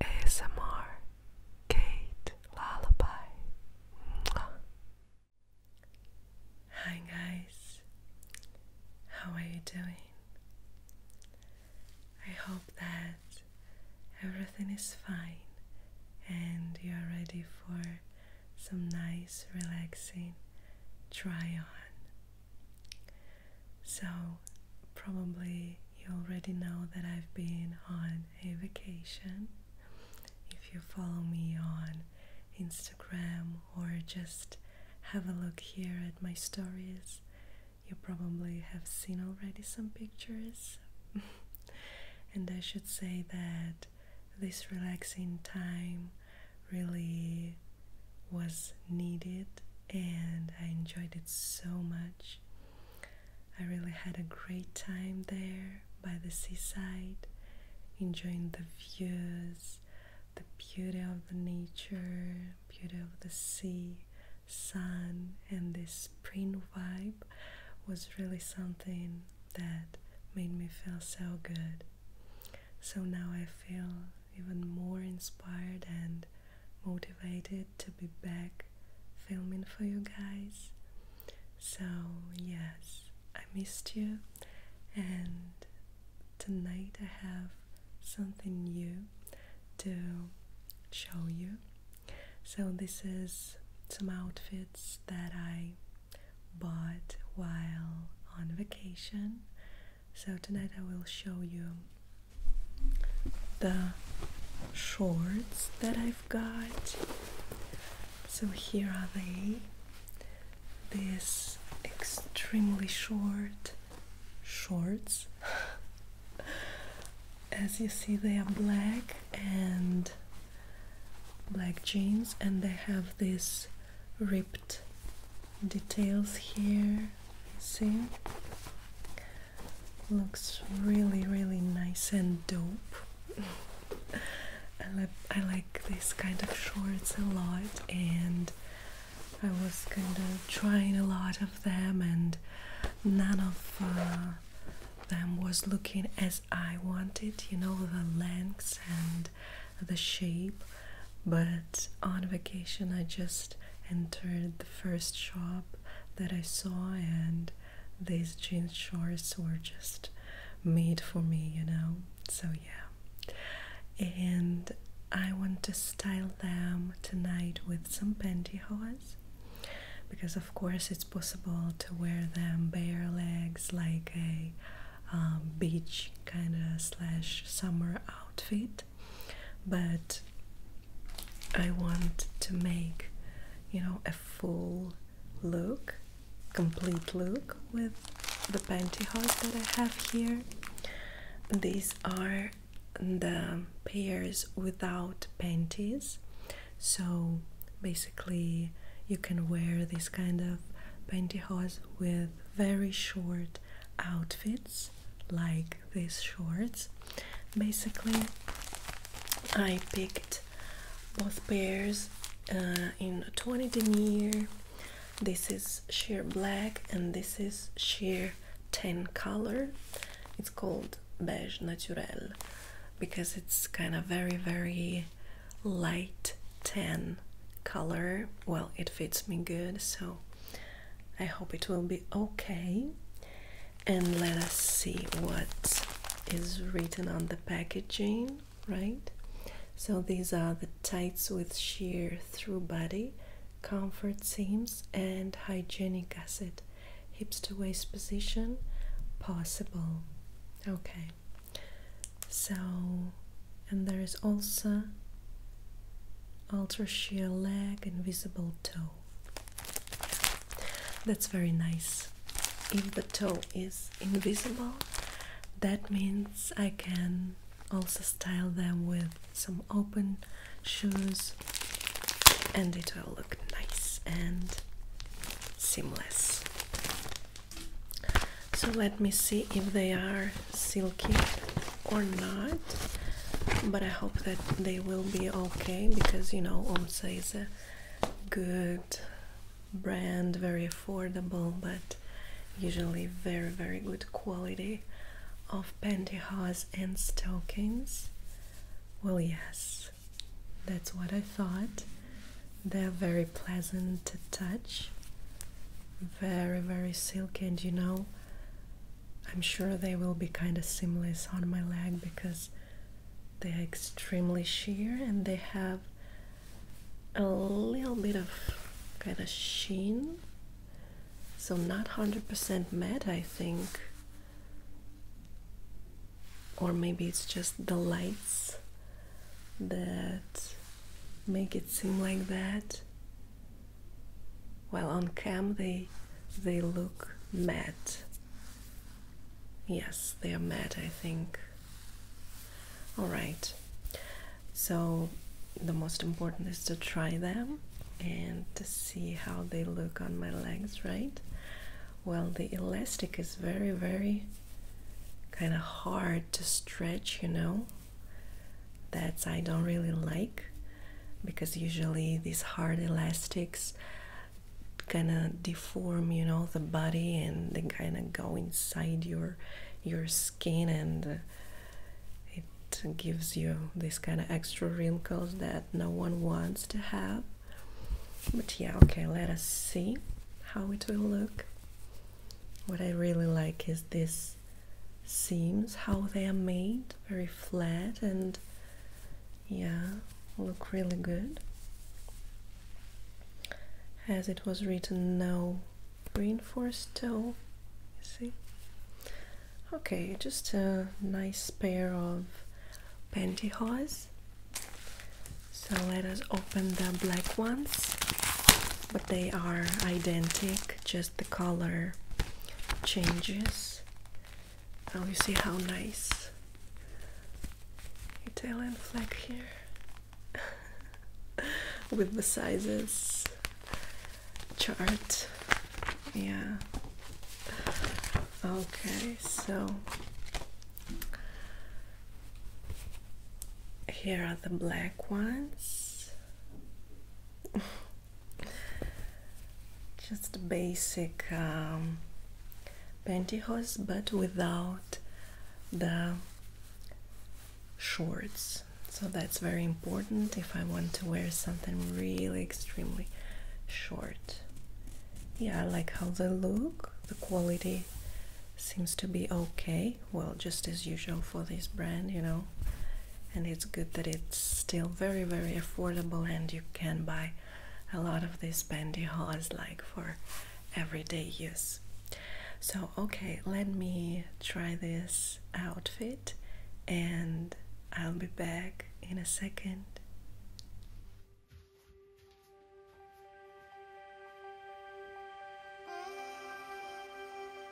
ASMR Kate Lullaby. Hi guys, how are you doing? I hope that everything is fine and you're ready for some nice, relaxing try on. So, probably you already know that I've been on a vacation. If you follow me on Instagram or just have a look here at my stories, you probably have seen already some pictures. and I should say that this relaxing time really was needed and I enjoyed it so much. I really had a great time there by the seaside, enjoying the views, the beauty of the nature, beauty of the sea, sun, and this spring vibe was really something that made me feel so good. So now I feel even more inspired and motivated to be back filming for you guys. So, yes, I missed you, and tonight I have something new to show you. So, this is some outfits that I bought while on vacation. So, tonight I will show you the shorts that I've got. So here are they. These extremely short shorts. As you see, they are black and black jeans, and they have these ripped details here see looks really really nice and dope I, like I like this kind of shorts a lot and I was kind of trying a lot of them and none of uh, them was looking as I wanted you know the lengths and the shape but on vacation I just entered the first shop that I saw, and these jeans shorts were just made for me, you know. So, yeah, and I want to style them tonight with some pantyhose because, of course, it's possible to wear them bare legs like a um, beach kind of slash summer outfit but I want to make you know a full look complete look with the pantyhose that I have here these are the pairs without panties so basically you can wear this kind of pantyhose with very short outfits like these shorts. Basically, I picked both pairs uh, in 20 denier. This is sheer black and this is sheer tan color. It's called beige naturel because it's kind of very, very light tan color. Well, it fits me good, so I hope it will be okay. And let us see what is written on the packaging, right? So these are the tights with sheer through body, comfort seams, and hygienic acid. Hips to waist position possible. Okay. So, and there is also ultra sheer leg invisible toe that's very nice if the toe is invisible that means I can also style them with some open shoes and it will look nice and seamless so let me see if they are silky or not but i hope that they will be okay because you know omsa is a good brand very affordable but usually very very good quality of pantyhose and stockings well yes that's what i thought they're very pleasant to touch very very silky and you know I'm sure they will be kind of seamless on my leg because they are extremely sheer and they have a little bit of kind of sheen. So, not 100% matte, I think. Or maybe it's just the lights that make it seem like that. Well, on cam they they look mad. Yes, they are mad. I think. All right. So the most important is to try them and to see how they look on my legs, right? Well, the elastic is very, very kind of hard to stretch, you know. That's I don't really like because usually these hard elastics kind of deform you know the body and they kind of go inside your your skin and uh, it gives you this kind of extra wrinkles that no one wants to have but yeah okay let us see how it will look what I really like is this seams, how they are made, very flat and yeah, look really good. As it was written, no reinforced toe, see. Okay, just a nice pair of pantyhose. So let us open the black ones, but they are identical. just the color changes. Oh, you see how nice Italian flag here with the sizes chart. Yeah. Okay, so here are the black ones. just basic um, pantyhose but without the shorts so that's very important if I want to wear something really extremely short yeah I like how they look the quality seems to be okay well just as usual for this brand you know and it's good that it's still very very affordable and you can buy a lot of these pantyhose like for everyday use so okay let me try this outfit and i'll be back in a second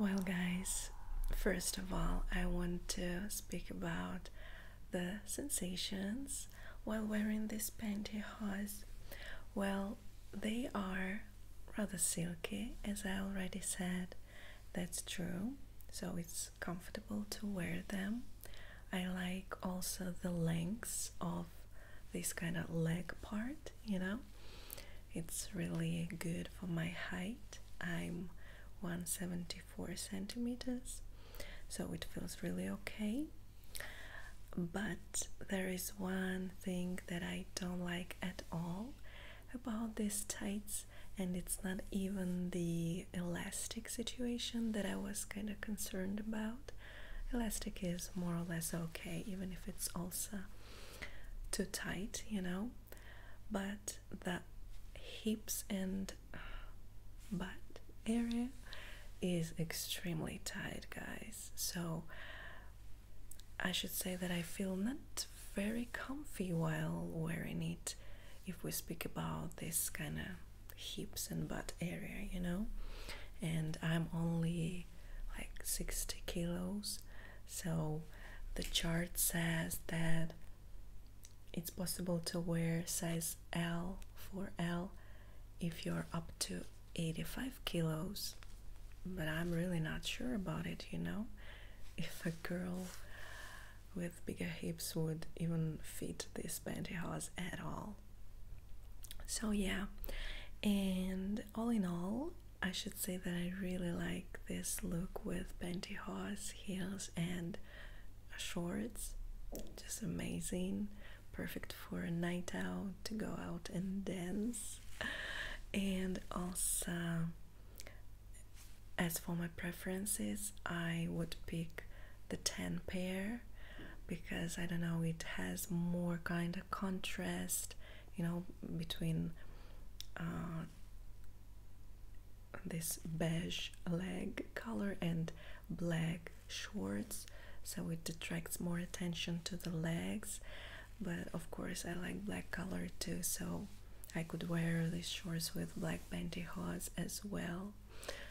Well, guys, first of all, I want to speak about the sensations while wearing this pantyhose. Well, they are rather silky, as I already said, that's true. So it's comfortable to wear them. I like also the lengths of this kind of leg part, you know. It's really good for my height. I'm 174 centimeters, so it feels really okay. But there is one thing that I don't like at all about these tights, and it's not even the elastic situation that I was kind of concerned about. Elastic is more or less okay, even if it's also too tight, you know. But the hips and butt area is extremely tight, guys. So I should say that I feel not very comfy while wearing it if we speak about this kind of hips and butt area, you know. And I'm only like 60 kilos, so the chart says that it's possible to wear size L for L if you're up to 85 kilos, but I'm really not sure about it, you know, if a girl with bigger hips would even fit this pantyhose at all. So, yeah, and all in all, I should say that I really like this look with pantyhose, heels, and shorts. Just amazing perfect for a night out to go out and dance and also as for my preferences i would pick the 10 pair because i don't know it has more kind of contrast you know between uh, this beige leg color and black shorts so it attracts more attention to the legs but of course I like black color too so I could wear these shorts with black pantyhose as well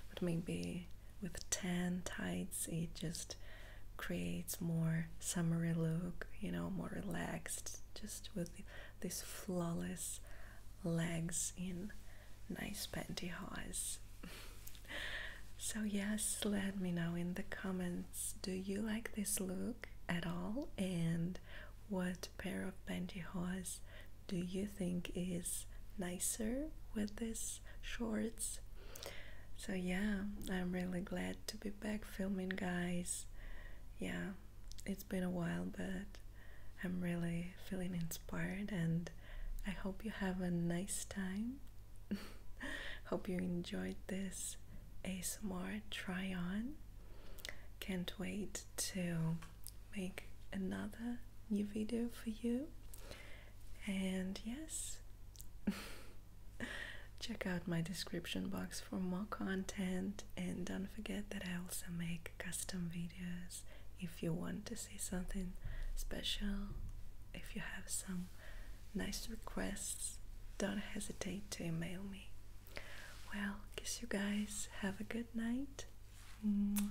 but maybe with tan tights it just creates more summery look you know more relaxed just with these flawless legs in nice pantyhose so yes let me know in the comments do you like this look at all and what pair of pantyhose do you think is nicer with this shorts so yeah i'm really glad to be back filming guys yeah it's been a while but i'm really feeling inspired and I hope you have a nice time. hope you enjoyed this a ASMR try on. Can't wait to make another new video for you. And yes, check out my description box for more content. And don't forget that I also make custom videos if you want to see something special, if you have some nice requests, don't hesitate to email me. Well, kiss you guys. Have a good night. Bye.